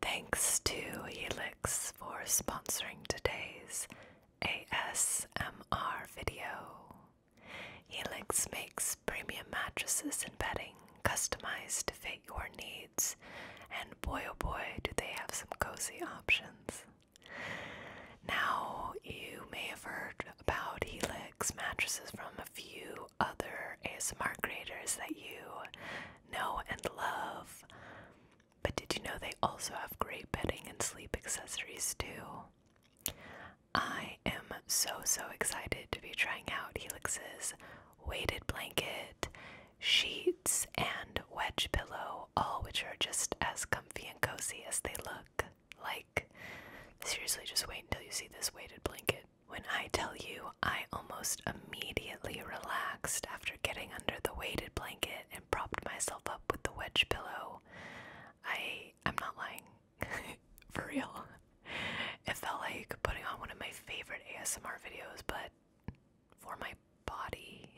Thanks to Helix for sponsoring today's ASMR video. Helix makes premium mattresses and bedding customized to fit your needs, and boy oh boy, do they have some cozy options. Now, you may have heard about Helix mattresses from a few other ASMR creators that you know and love. But did you know they also have great bedding and sleep accessories too? I am so so excited to be trying out Helix's weighted blanket, sheets, and wedge pillow, all which are just as comfy and cozy as they look. Like, seriously, just wait until you see this weighted blanket. When I tell you I almost immediately relaxed after getting under the weighted blanket and propped myself up with the wedge pillow. I I'm not lying. For real. It felt like putting on one of my favorite ASMR videos, but for my body.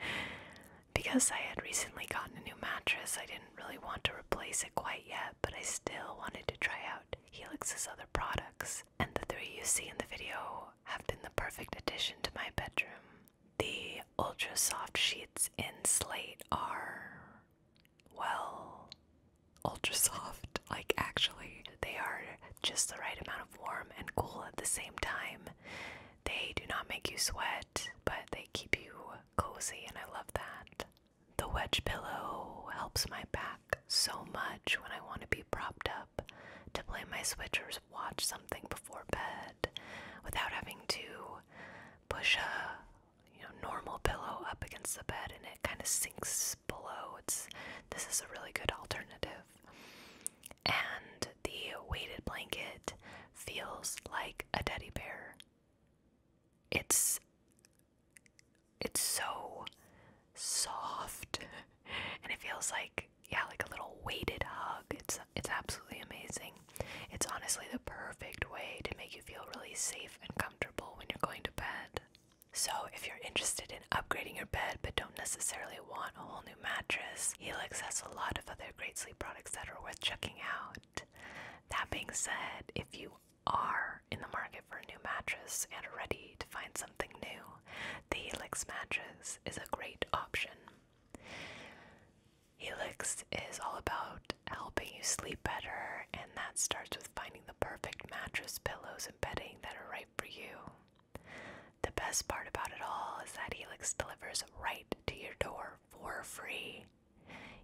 because I had recently gotten a new mattress, I didn't really want to replace it quite yet, but I still wanted to try out Helix's other products. And the three you see in the video have been the perfect addition to my bedroom. The ultra soft sheets in slate are, well, ultra soft. Like, actually, they are just the right amount of warm and cool at the same time. They do not make you sweat, but they keep you cozy, and I love that. The wedge pillow helps my back so much when I want to be propped up to play my switchers, watch something before bed without having to push a you know normal pillow up against the bed and it kind of sinks below. It's this is a really good alternative. And the weighted blanket feels like a teddy bear. It's it's so soft and it feels like yeah like a little weighted hug it's it's absolutely amazing it's honestly the perfect way to make you feel really safe and comfortable when you're going to bed so if you're interested in upgrading your bed but don't necessarily want a whole new mattress helix has a lot of other great sleep products that are worth checking out that being said if you are in the market for a new mattress and ready to find something new the Helix matches is a great option. Helix is all about helping you sleep better, and that starts with finding the perfect mattress, pillows, and bedding that are right for you. The best part about it all is that Helix delivers right to your door for free.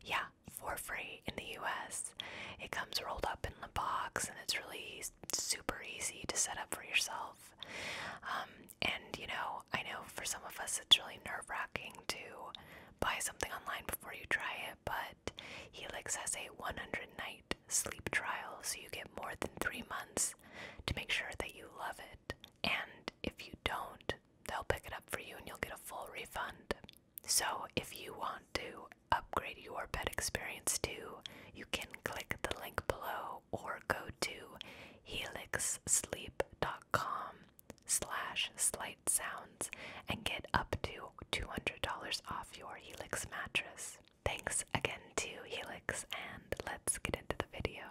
Yeah, for free in the US. It comes rolled up in box, and it's really super easy to set up for yourself. Um, and you know, I know for some of us it's really nerve wracking to buy something online before you try it, but Helix has a 100 night sleep trial, so you get more than three months to make sure that you love it. And if you don't, they'll pick it up for you and you'll get a full refund. So if you want to upgrade your bed experience too, you can click the link below or go to helixsleep.com slash slight and get up to $200 off your Helix mattress. Thanks again to Helix and let's get into the video.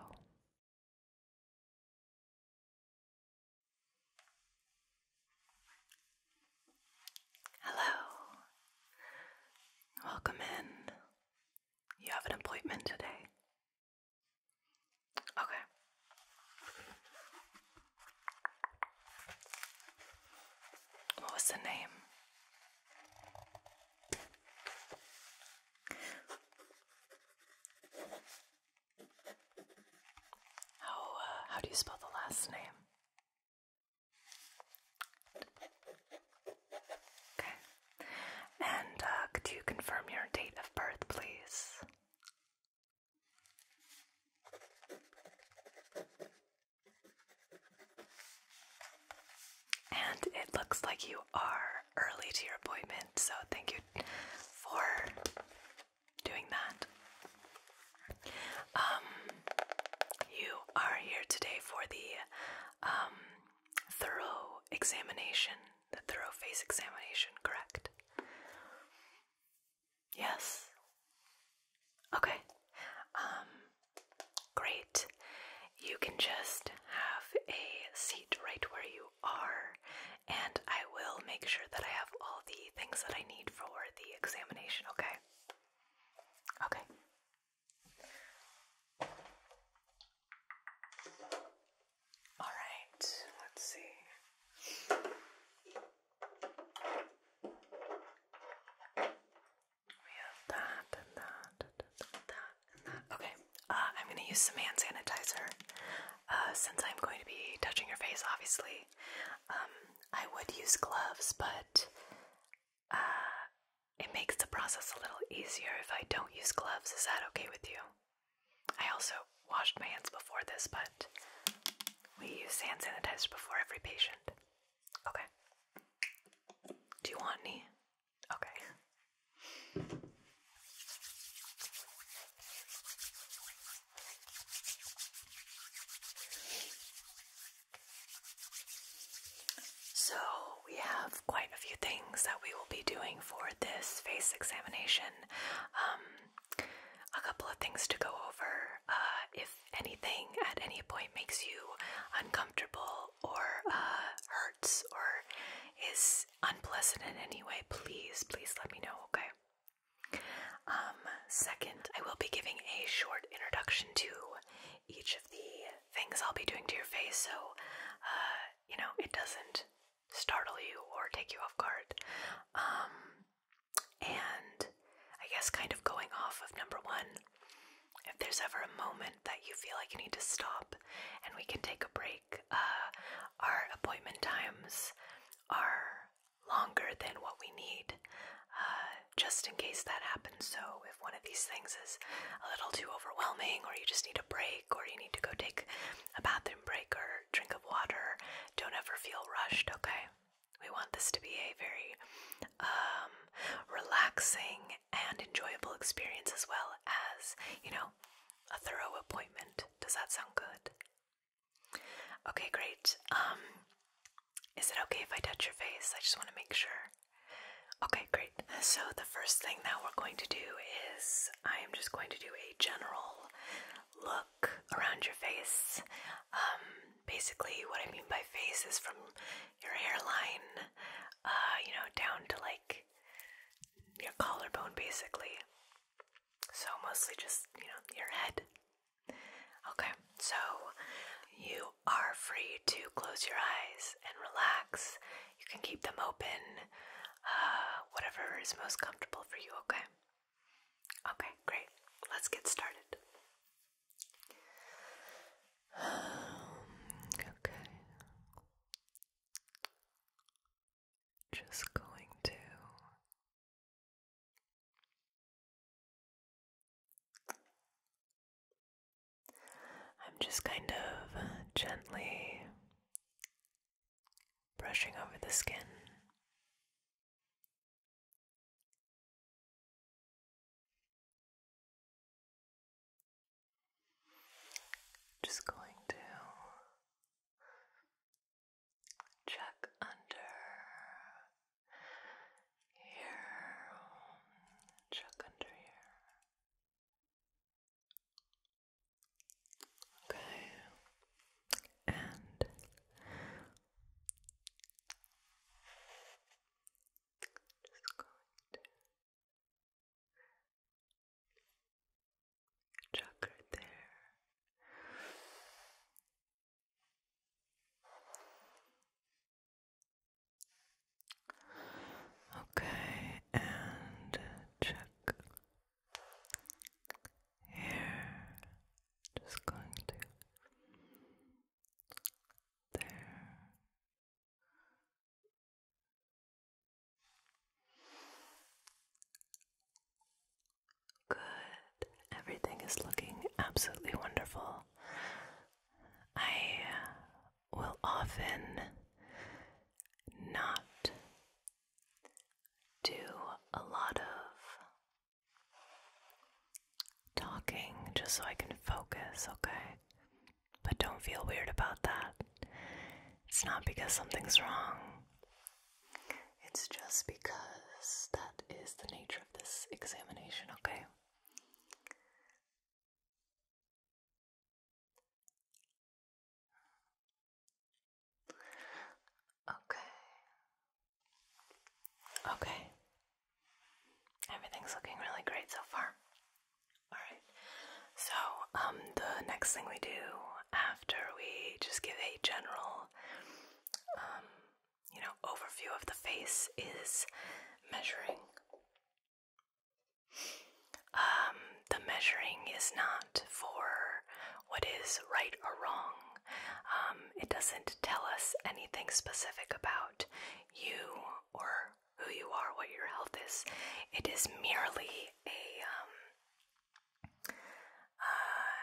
Hello. Welcome in. You have an appointment today. Okay. What was the name? How uh, how do you spell the last name? Okay. And uh, could you confirm your date of birth, please? And it looks like you are early to your appointment, so thank you for doing that. Um, you are here today for the um, thorough examination, the thorough face examination, correct? Yes. Okay. Um, great. You can just have a seat right where you are, and I will make sure that I have all the things that I need for the examination, okay? Okay. All right, let's see. We have that and that, and that, and that. Okay, uh, I'm going to use some hand sanitizer. Uh, since I'm going to be touching your face, obviously, um, I would use gloves, but uh, it makes the process a little easier if I don't use gloves. Is that okay with you? I also washed my hands before this, but we use hand sanitizer before every patient. Okay. Do you want any? Okay. So, we have quite a few things that we will be doing for this face examination. Um, a couple of things to go over. Uh, if anything at any point makes you uncomfortable or uh, hurts or is unpleasant in any way, please, please let me know, okay? Um, second, I will be giving a short introduction to each of the things I'll be doing to your face so, uh, you know, it doesn't startle you or take you off guard. Um, and I guess, kind of going off of number one, if there's ever a moment that you feel like you need to stop and we can take a break, uh, our appointment times are longer than what we need, uh, just in case that happens. So if one of these things is a little too overwhelming, or you just need a break, or you need to go take a bathroom break or drink of water. Don't ever feel rushed, okay? We want this to be a very um, relaxing and enjoyable experience as well as, you know, a thorough appointment. Does that sound good? Okay, great. Um, is it okay if I touch your face? I just want to make sure Okay, great. So, the first thing that we're going to do is I am just going to do a general look around your face. Um, basically, what I mean by face is from your hairline, uh, you know, down to like your collarbone, basically. So, mostly just, you know, your head. Okay, so you are free to close your eyes and relax. You can keep them open, uh, whatever is most comfortable for you, okay? Okay, great. Let's get started. okay. Just going to I'm just kind of gently brushing over the skin. Just going to check under here, check under here. Okay. And just going to chakra there. Okay, and check here. Just going to there. Good. Everything is looking absolutely wonderful. I will often not do a lot of talking just so I can focus, okay? But don't feel weird about that. It's not because something's wrong. It's just because that is the nature of this examination, okay? Okay. Okay. Everything's looking really great so far. Alright. So, um, the next thing we do after we just give a general, um, you know, overview of the face is measuring um, the measuring is not for what is right or wrong. Um, it doesn't tell us anything specific about you or who you are, what your health is. It is merely a. Um, uh,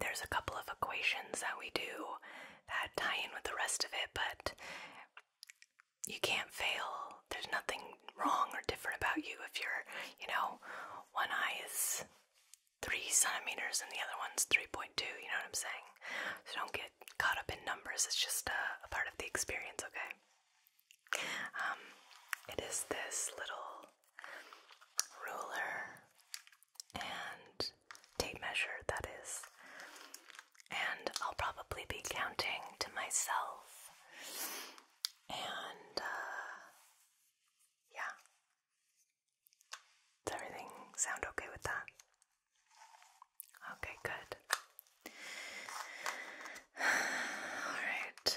there's a couple of equations that we do that tie in with the rest of it, but you can't fail. There's nothing wrong or different about you if you're, you know, one eye is three centimeters and the other one's 3.2. You know what I'm saying? So don't get caught up in numbers. It's just a, part of the experience, okay? Um, it is this little ruler and tape measure that is and I'll probably be counting to myself. And uh, yeah. Does everything sound okay with that? Okay, good. All right.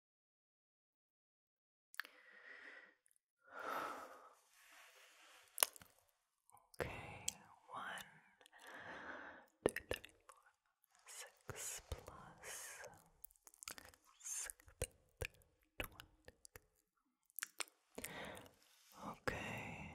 Okay, one, two, three, four, six plus six, twenty. Okay.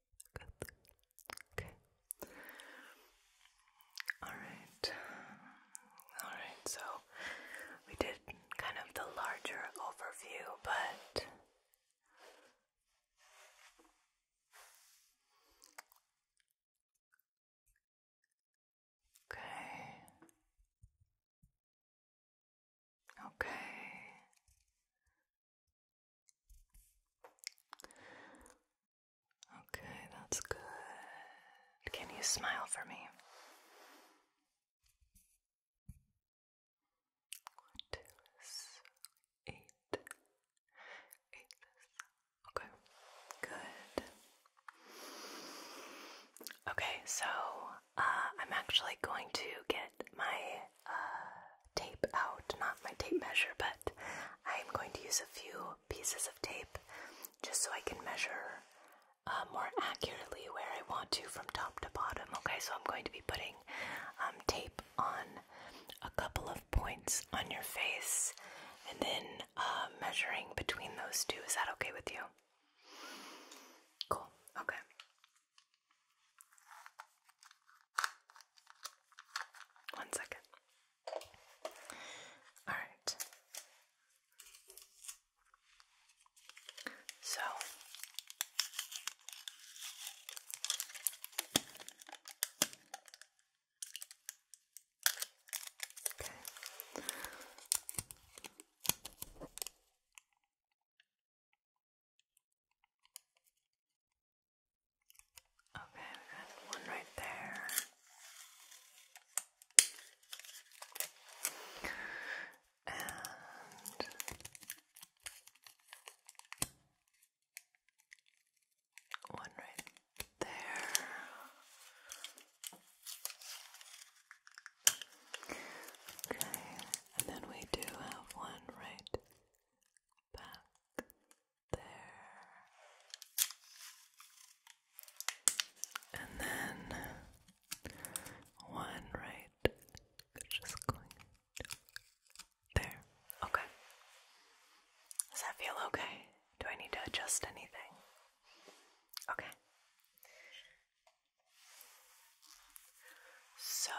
Good. Okay. Alright. Alright, so we did kind of the larger overview, but Okay. Okay. Okay, that's good. Can you smile for me? One, two, six, eight. Eight. Okay, good. Okay, so uh, I'm actually going to get my uh, tape out, not my tape measure, but I'm going to use a few pieces of tape just so I can measure uh, more accurately where I want to from top to bottom. Okay, so I'm going to be putting um, tape on a couple of points on your face and then uh, measuring between those two. Is that okay with you? Cool, okay. One second. All right. So Okay. Okay, we got one right there. And one right there. Okay, and then we do have one right back there. And then one right just going there. Okay. Does that feel okay? Do I need to adjust anything? Okay. So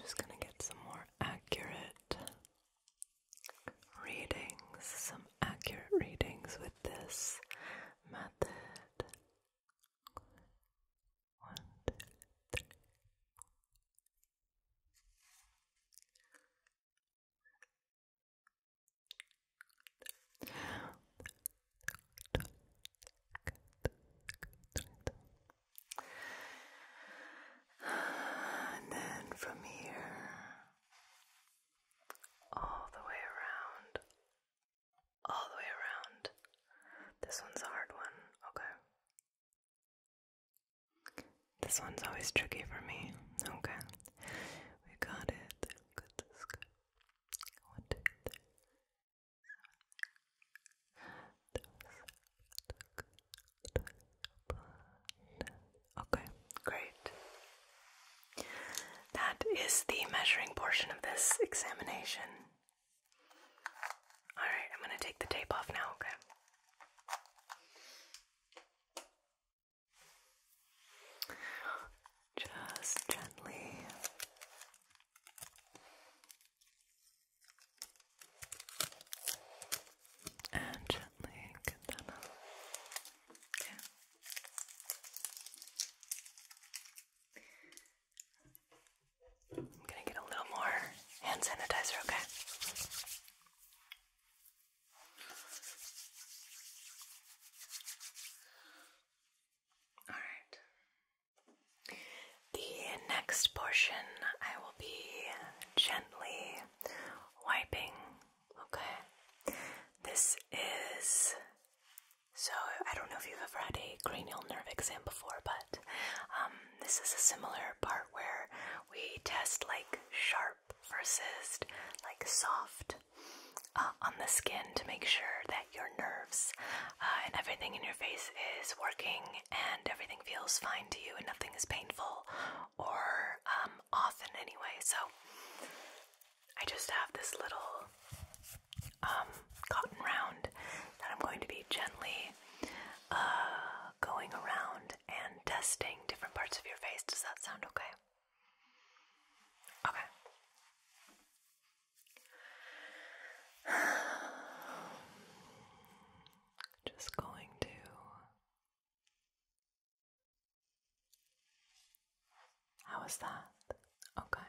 just gonna get some more accurate readings, some accurate readings with this method. One, two, three. And then from here, all the way around, all the way around. This one's a hard one, okay? This one's always tricky for me, okay? We got it. Good, this good. One, two, three. Okay, great. That is the measuring portion of this examination. Alright, I'm going to take the tape off now, okay? Just gently. And gently get I'm gonna get a little more hand sanitizer, okay? All right. The next portion I will be gently wiping, okay? This is. So, I don't know if you've ever had a cranial nerve exam before, but um, this is a similar part where we test like sharp versus like soft uh, on the skin to make sure that your nerves uh, and everything in your face is working and everything feels fine to you and nothing is painful or um, often anyway. So I just have this little um, cotton round that I'm going to be gently uh, going around and testing different parts of your face. Does that sound okay? Okay. Just going to How is that? Okay.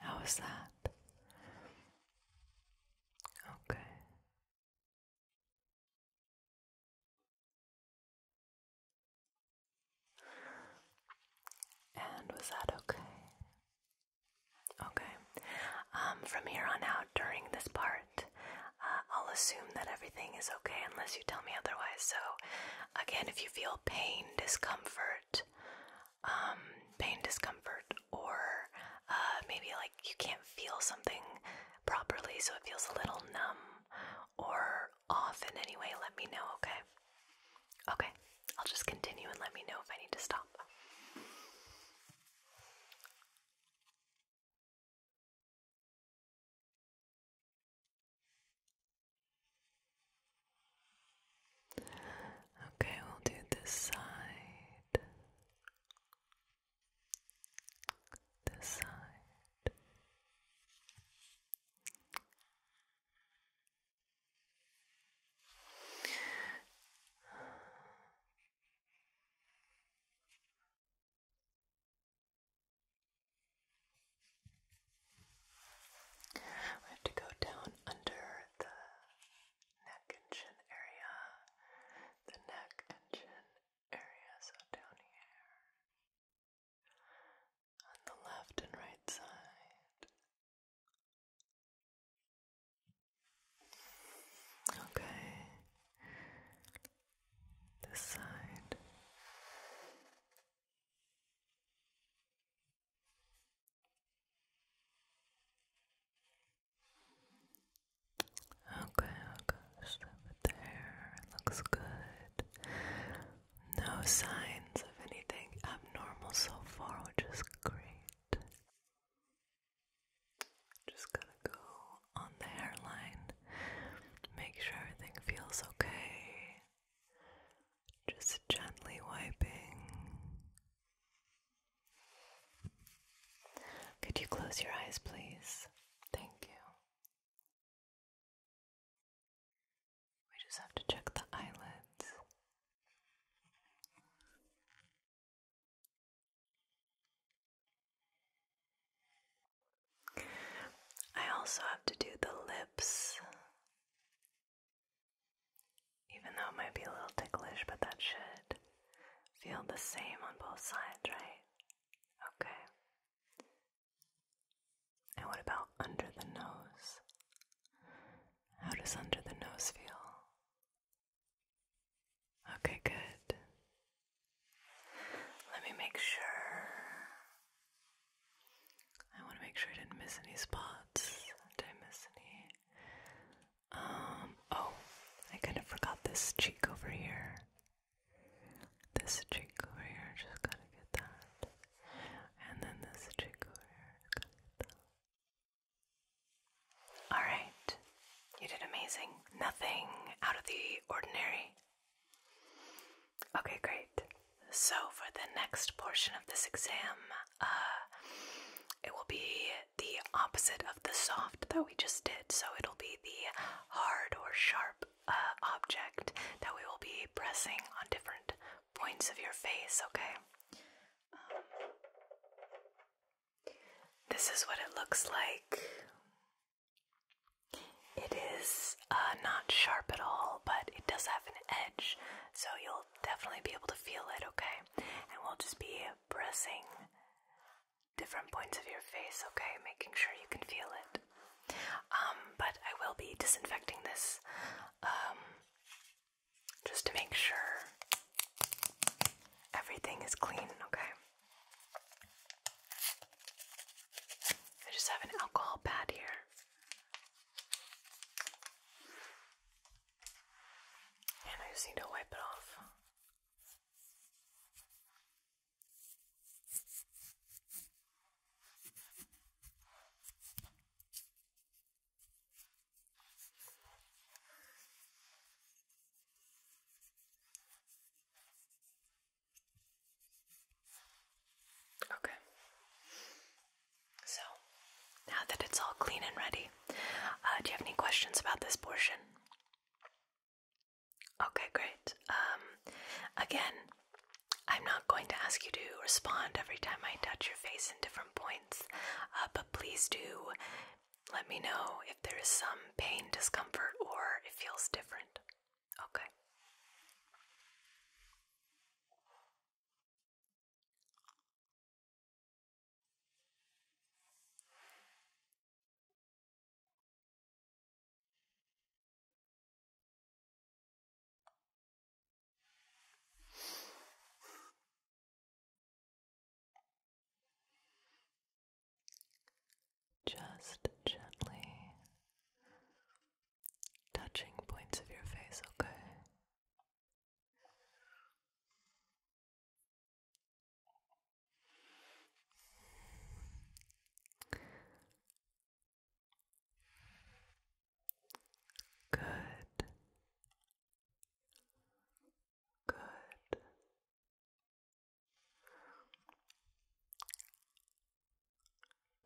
How is that? Okay. And was that okay? Okay. Um, from here on out, during this part, uh, I'll assume that everything is okay unless you tell me otherwise. So, again, if you feel pain, discomfort, um, pain, discomfort, or uh, maybe like you can't feel something properly so it feels a little numb or off in any way, let me know, okay? Okay, I'll just continue and let me know if I need to stop. Okay, we'll do this side this side. We have to go down under the neck and chin area, the neck and chin area, so down here, on the left and right side. Okay, this side. Okay, okay, just leave it looks good. No signs of anything abnormal so far, which is great. Just gotta go on the hairline, make sure everything feels okay. Just gently wiping. Could you close your eyes, please? Thank you. We just have to check the eyelids. I also have to do the lips. Even though it might be a little ticklish, but that should feel the same on both sides, right? Okay. And what about under the nose? How does under the nose feel? Okay, good. Let me make sure. I want to make sure I didn't miss any spots. Did I miss any? Um, oh, I kind of forgot this cheek over here. This cheek over here, just gotta get that. And then this cheek over here, gotta get that. Alright, you did amazing. Nothing out of the ordinary. Okay, great. So, for the next portion of this exam, uh, it will be the opposite of the soft that we just did. So, it'll be the hard or sharp uh, object that we will be pressing on different points of your face, okay? Um, this is what it looks like. It is uh, not sharp at all, but it does have an edge, so you'll definitely be able to feel it, okay? And we'll just be pressing different points of your face, okay? Making sure you can feel it. Um, but I will be disinfecting this um, just to make sure everything is clean, okay? I just have an alcohol pad here. And I just need to wipe it off. Okay. So, now that it's all clean and ready, uh, do you have any questions about this portion? Okay, great. Um, again, I'm not going to ask you to respond every time I touch your face in different points, uh, but please do let me know if there is some pain, discomfort, or it feels different. Okay. Just gently touching points of your face, okay? Good. Good.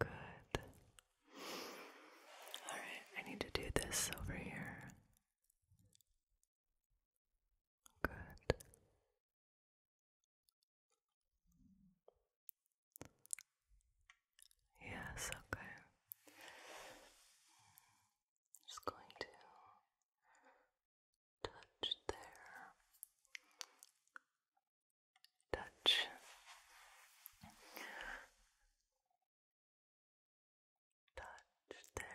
Good. All right, I need to do this over here. Good. Yes, okay. just going to touch there. Touch. Touch there.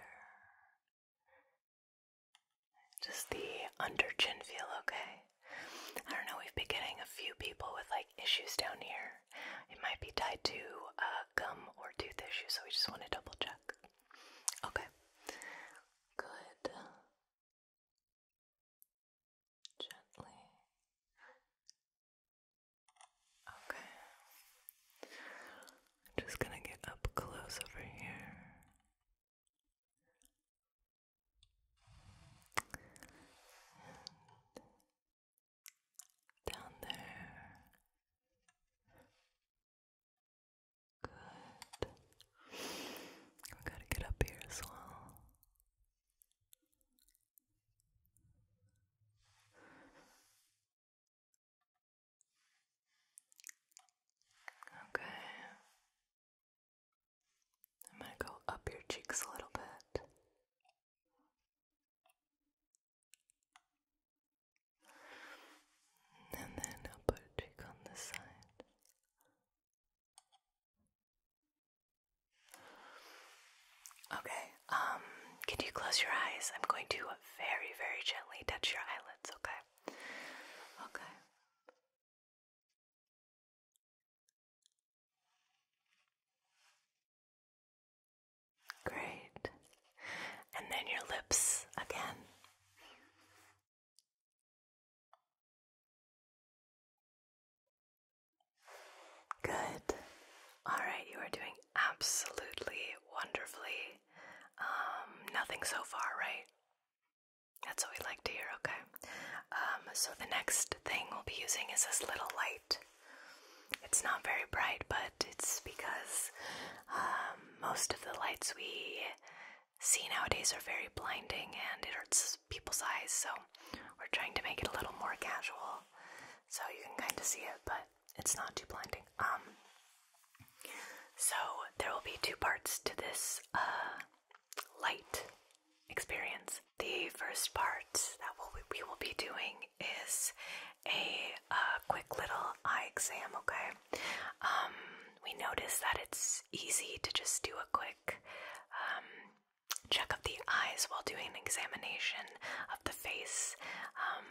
Just the under chin feel, okay? I don't know, we've been getting a few people with like issues down here. It might be tied to uh, gum or tooth issue, so we just want to double check. Okay. Good. Gently. Okay. just gonna get up close over here down there. Good. We gotta get up here as well. Okay. I'm going to go up your cheeks a little bit. And then I'll put a cheek on this side. Okay, um, can you close your eyes? I'm going to very, very gently touch your eyelids, okay? Okay. Great. And then your lips again. Good. All right, you are doing absolutely wonderfully. Um, nothing so far, right? That's what we like to hear, okay? Um, so the next thing we'll be using is this little light. It's not very bright, but it's because um, most of the lights we see nowadays are very blinding and it hurts people's eyes, so we're trying to make it a little more casual so you can kind of see it, but it's not too blinding. Um, so there will be two parts to this uh, light experience. The first part that we will be doing is a quick little eye exam, okay? Um, we notice that it's easy to just do a quick um, check of the eyes while doing an examination of the face, um,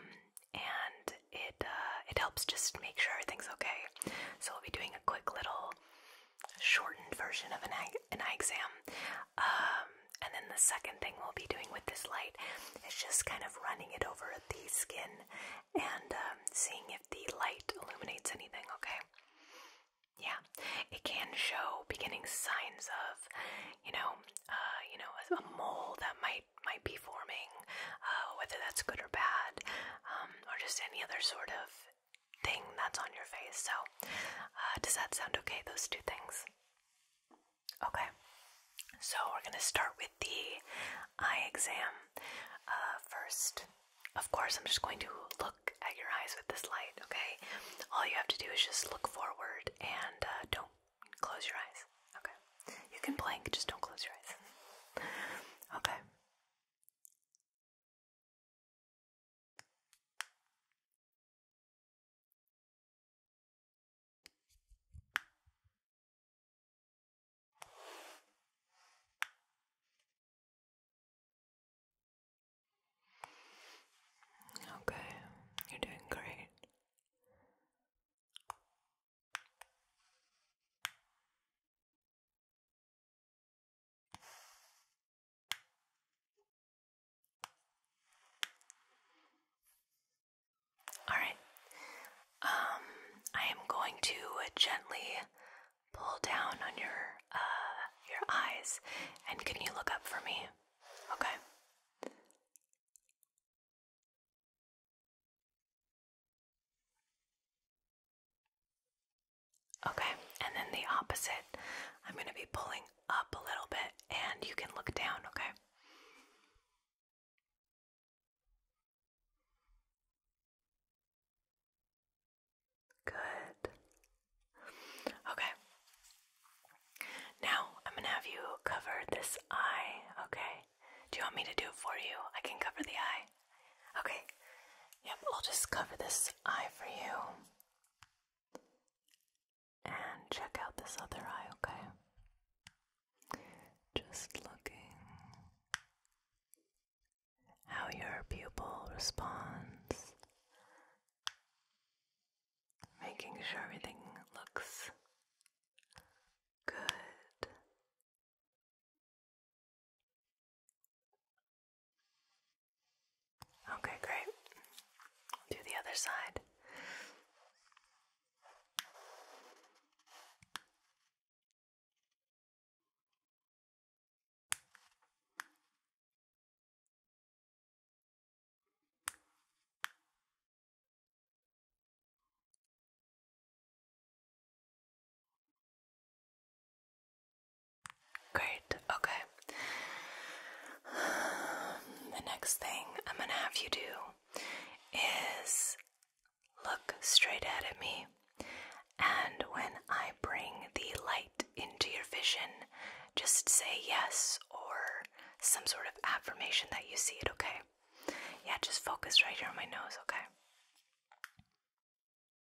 and it uh, it helps just make sure everything's okay. So we'll be doing a quick little shortened version of an eye, an eye exam. Um, and then the second thing we'll be doing with this light is just kind of running it over the skin and um, seeing if the light illuminates anything, okay? Yeah, it can show beginning signs of, you know, uh, you know, a mole that might might be forming, uh, whether that's good or bad, um, or just any other sort of thing that's on your face. So, uh, does that sound okay? Those two things? Okay. So, we're going to start with the eye exam uh, first. Of course, I'm just going to look at your eyes with this light, okay? All you have to do is just look forward and uh, don't close your eyes, okay? You can blink, just don't close your eyes. okay. Okay, you're doing great. All right. Um, I am going to gently pull down on your uh your eyes, and can you look up for me? Okay. Okay, and then the opposite. I'm going to be pulling up a little bit and you can look down, okay? Good. Okay. Now I'm going to have you cover this eye, okay? Do you want me to do it for you? I can cover the eye. Okay. Yep, I'll just cover this eye for you. And check out this other eye, okay? Just looking how your pupil responds, making sure everything looks good. Okay, great. Do the other side. Great, okay. The next thing I'm gonna have you do is look straight ahead at me, and when I bring the light into your vision, just say yes or some sort of affirmation that you see it, okay? Yeah, just focus right here on my nose, okay?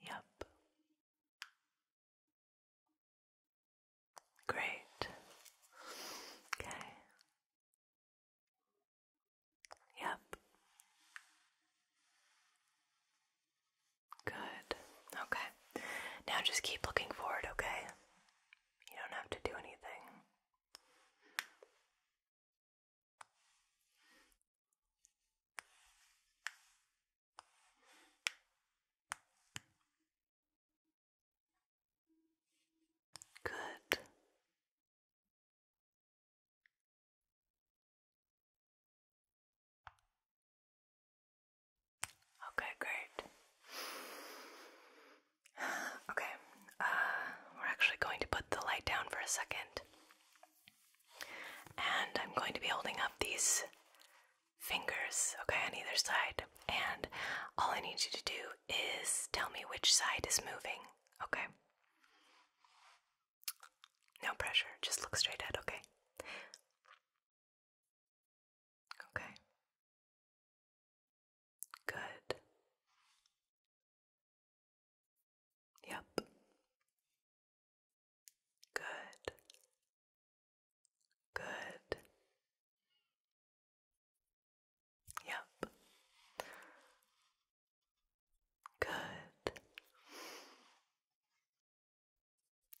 Yep. Great. Okay. Yep. Good. Okay. Now just keep looking forward, okay? You don't have to do anything. Good. Okay, great. Okay, uh, we're actually going to put the light down for a second. And I'm going to be holding up these fingers, okay, on either side. And all I need you to do is tell me which side is moving, okay? No pressure, just look straight ahead, okay? Okay. Good. Yep. Good. Good. Yep. Good.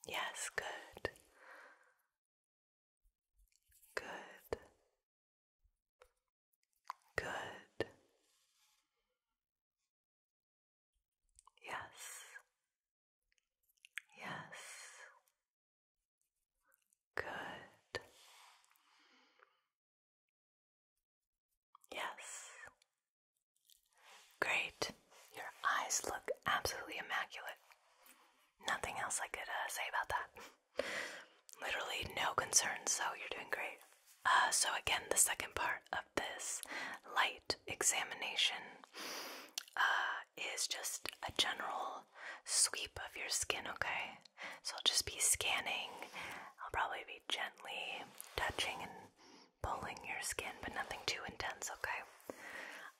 Yes, good. Good. Good. Yes. Yes. Good. Yes. Great. Your eyes look absolutely immaculate. Nothing else I could uh, say about that. Literally no concerns, so you're doing great. Uh, so, again, the second part of this light examination uh, is just a general sweep of your skin, okay? So I'll just be scanning. I'll probably be gently touching and pulling your skin, but nothing too intense, okay?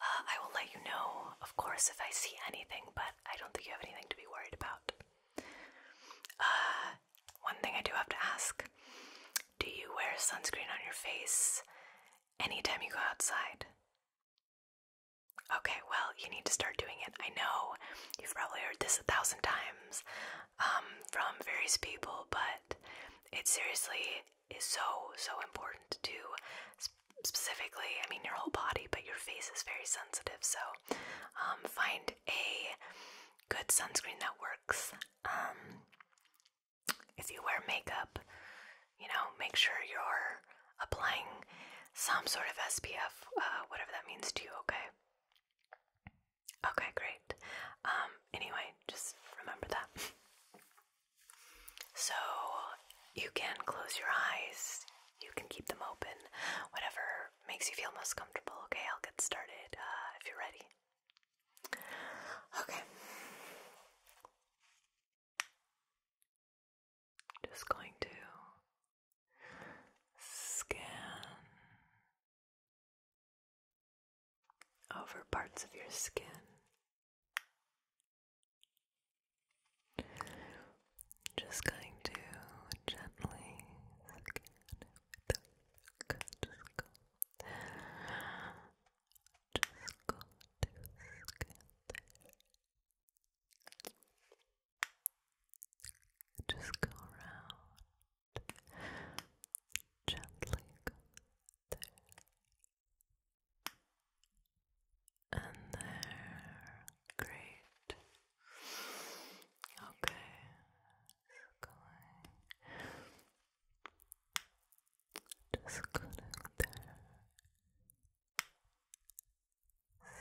Uh, I will let you know, of course, if I see anything, but I don't think you have anything to be worried about. Uh, one thing I do have to ask do you wear sunscreen on your face anytime you go outside? Okay, well, you need to start doing it. I know you've probably heard this a thousand times um, from various people, but it seriously is so, so important to specifically, I mean, your whole body, but your face is very sensitive. So um, find a good sunscreen that works. Um, if you wear makeup, you know, make sure you're applying some sort of SPF, uh, whatever that means to you, okay? Okay, great. Um, anyway, just remember that. so you can close your eyes, you can keep them open, whatever makes you feel most comfortable, okay? I'll get started uh, if you're ready. Okay. Just going to scan over parts of your skin. Just going to gently just go to scatter. Just go around. Gently go there. And Great. Okay. Going. Just good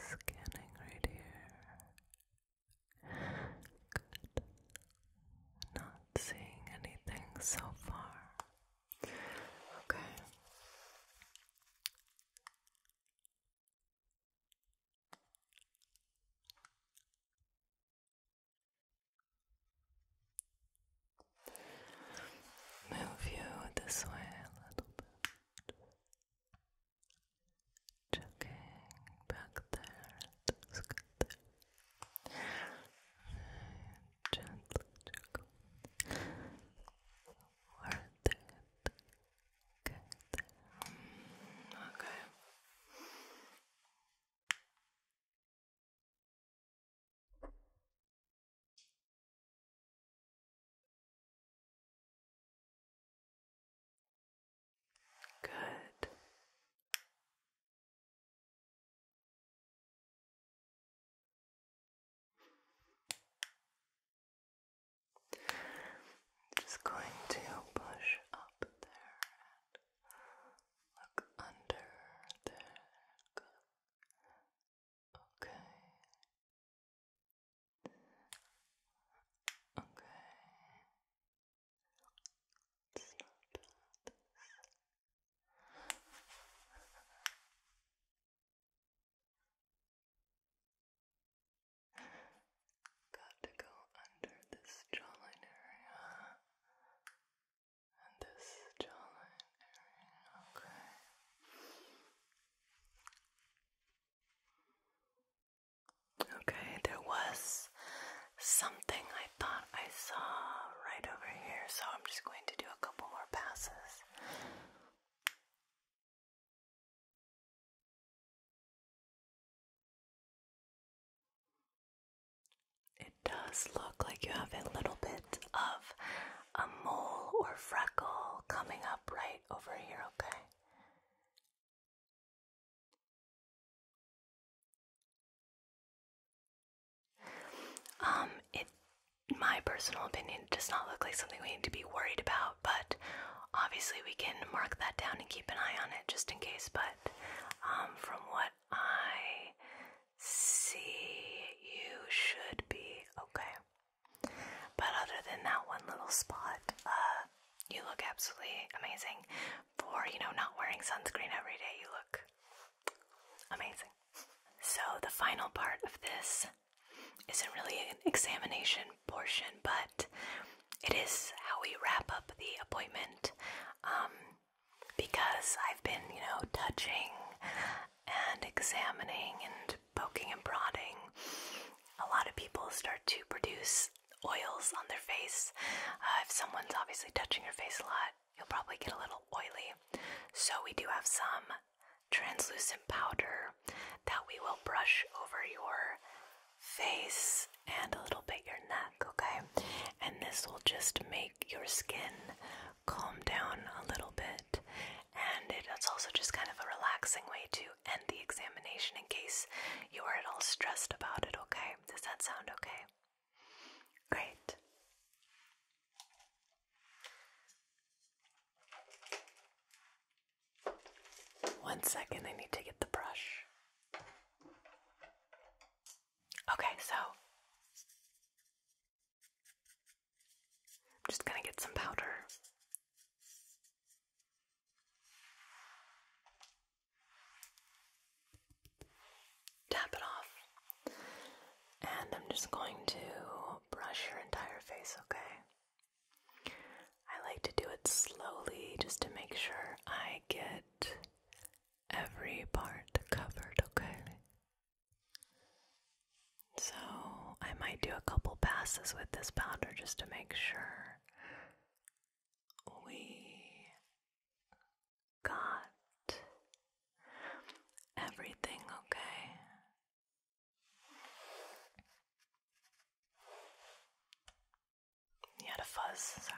Scanning right here. Good. Not seeing anything so far. Okay. Move you this way a little bit. Checking back there. That's good there. chuckle. Worth it. Get there. Okay. Good. i just going to push up there Look under there. Okay. Okay. Got to go under this jawline area and this jawline area, okay. Okay, there was something I thought I saw right over here, so I'm just going to do a couple more passes. It does look like you have a little bit of a mole or freckle coming up right over here, okay? Um, it, my personal opinion, does not look like something we need to be worried about, but obviously we can mark that down and keep an eye on it just in case. But um, from what I see, you should be okay. But other than that one little spot, uh, you look absolutely amazing. For, you know, not wearing sunscreen every day, you look amazing. So, the final part of this isn't really an examination portion, but it is how we wrap up the appointment. Um, because I've been, you know, touching and examining and poking and prodding, a lot of people start to produce oils on their face. Uh, if someone's obviously touching your face a lot, you'll probably get a little oily. So, we do have some translucent powder that we will brush over your face and a little bit your neck, okay? And this will just make your skin calm down a little bit. And it's also just kind of a relaxing way to end the examination in case you are at all stressed about it, okay? Does that sound okay? Great. One second, I need to get the brush. Okay, so I'm just going to get some powder. Tap it off. And I'm just going to brush your entire face, okay? I like to do it slowly just to make sure I get every part covered, okay? So I might do a couple passes with this powder just to make sure we got everything okay. You had a fuzz, sorry.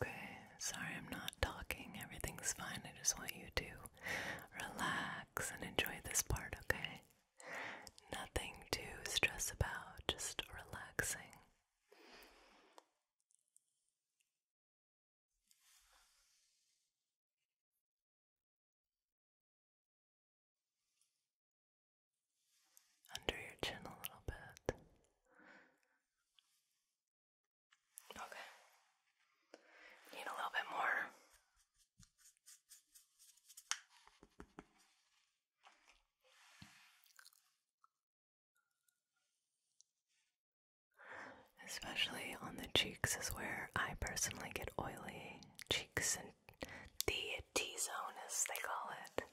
Okay, sorry I'm not talking. Everything's fine. I just want you to relax and enjoy this part, okay? Nothing to stress about, just relaxing. Under your chin a little bit. Okay. Need a little bit more. Especially on the cheeks is where I personally get oily cheeks and the T zone as they call it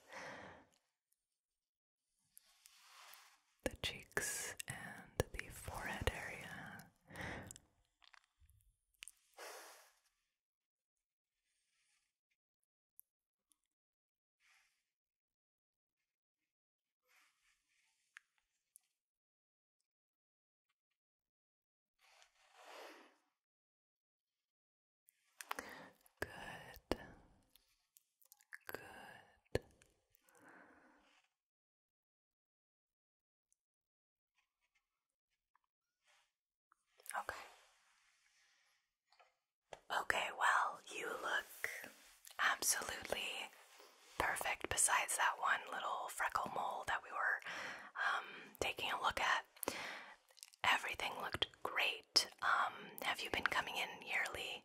the cheeks and the forehead area. Good. Good. Okay. Okay, well, you look absolutely perfect besides that one little freckle mole that we were um, taking a look at. Everything looked great. Um, have you been coming in yearly?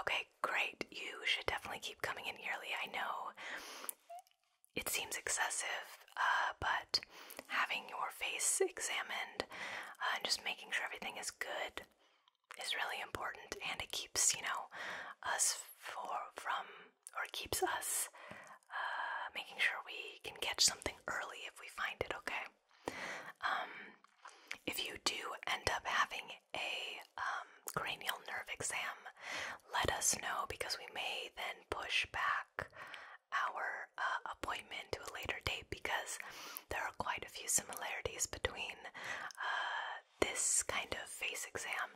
Okay, great. You should definitely keep coming in yearly. I know it seems excessive, uh, but having your face examined uh, and just making sure everything is good is really important, and it keeps you know us from or keeps us uh, making sure we can catch something early if we find it. Okay. Um, if you do end up having a um, cranial nerve exam, let us know because we may then push back our uh, appointment to a later date because there are quite a few similarities between uh, this kind of face exam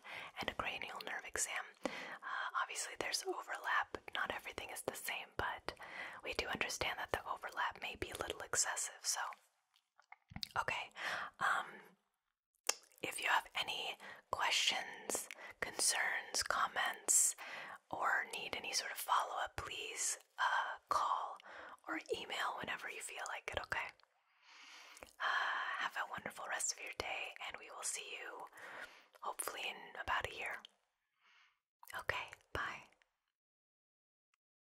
and a cranial nerve exam. Uh, obviously, there's overlap, not everything is the same, but we do understand that the overlap may be a little excessive, so Okay. Um, if you have any questions, concerns, comments, or need any sort of follow up, please uh, call or email whenever you feel like it, okay? Uh, have a wonderful rest of your day, and we will see you hopefully in about a year. Okay, bye.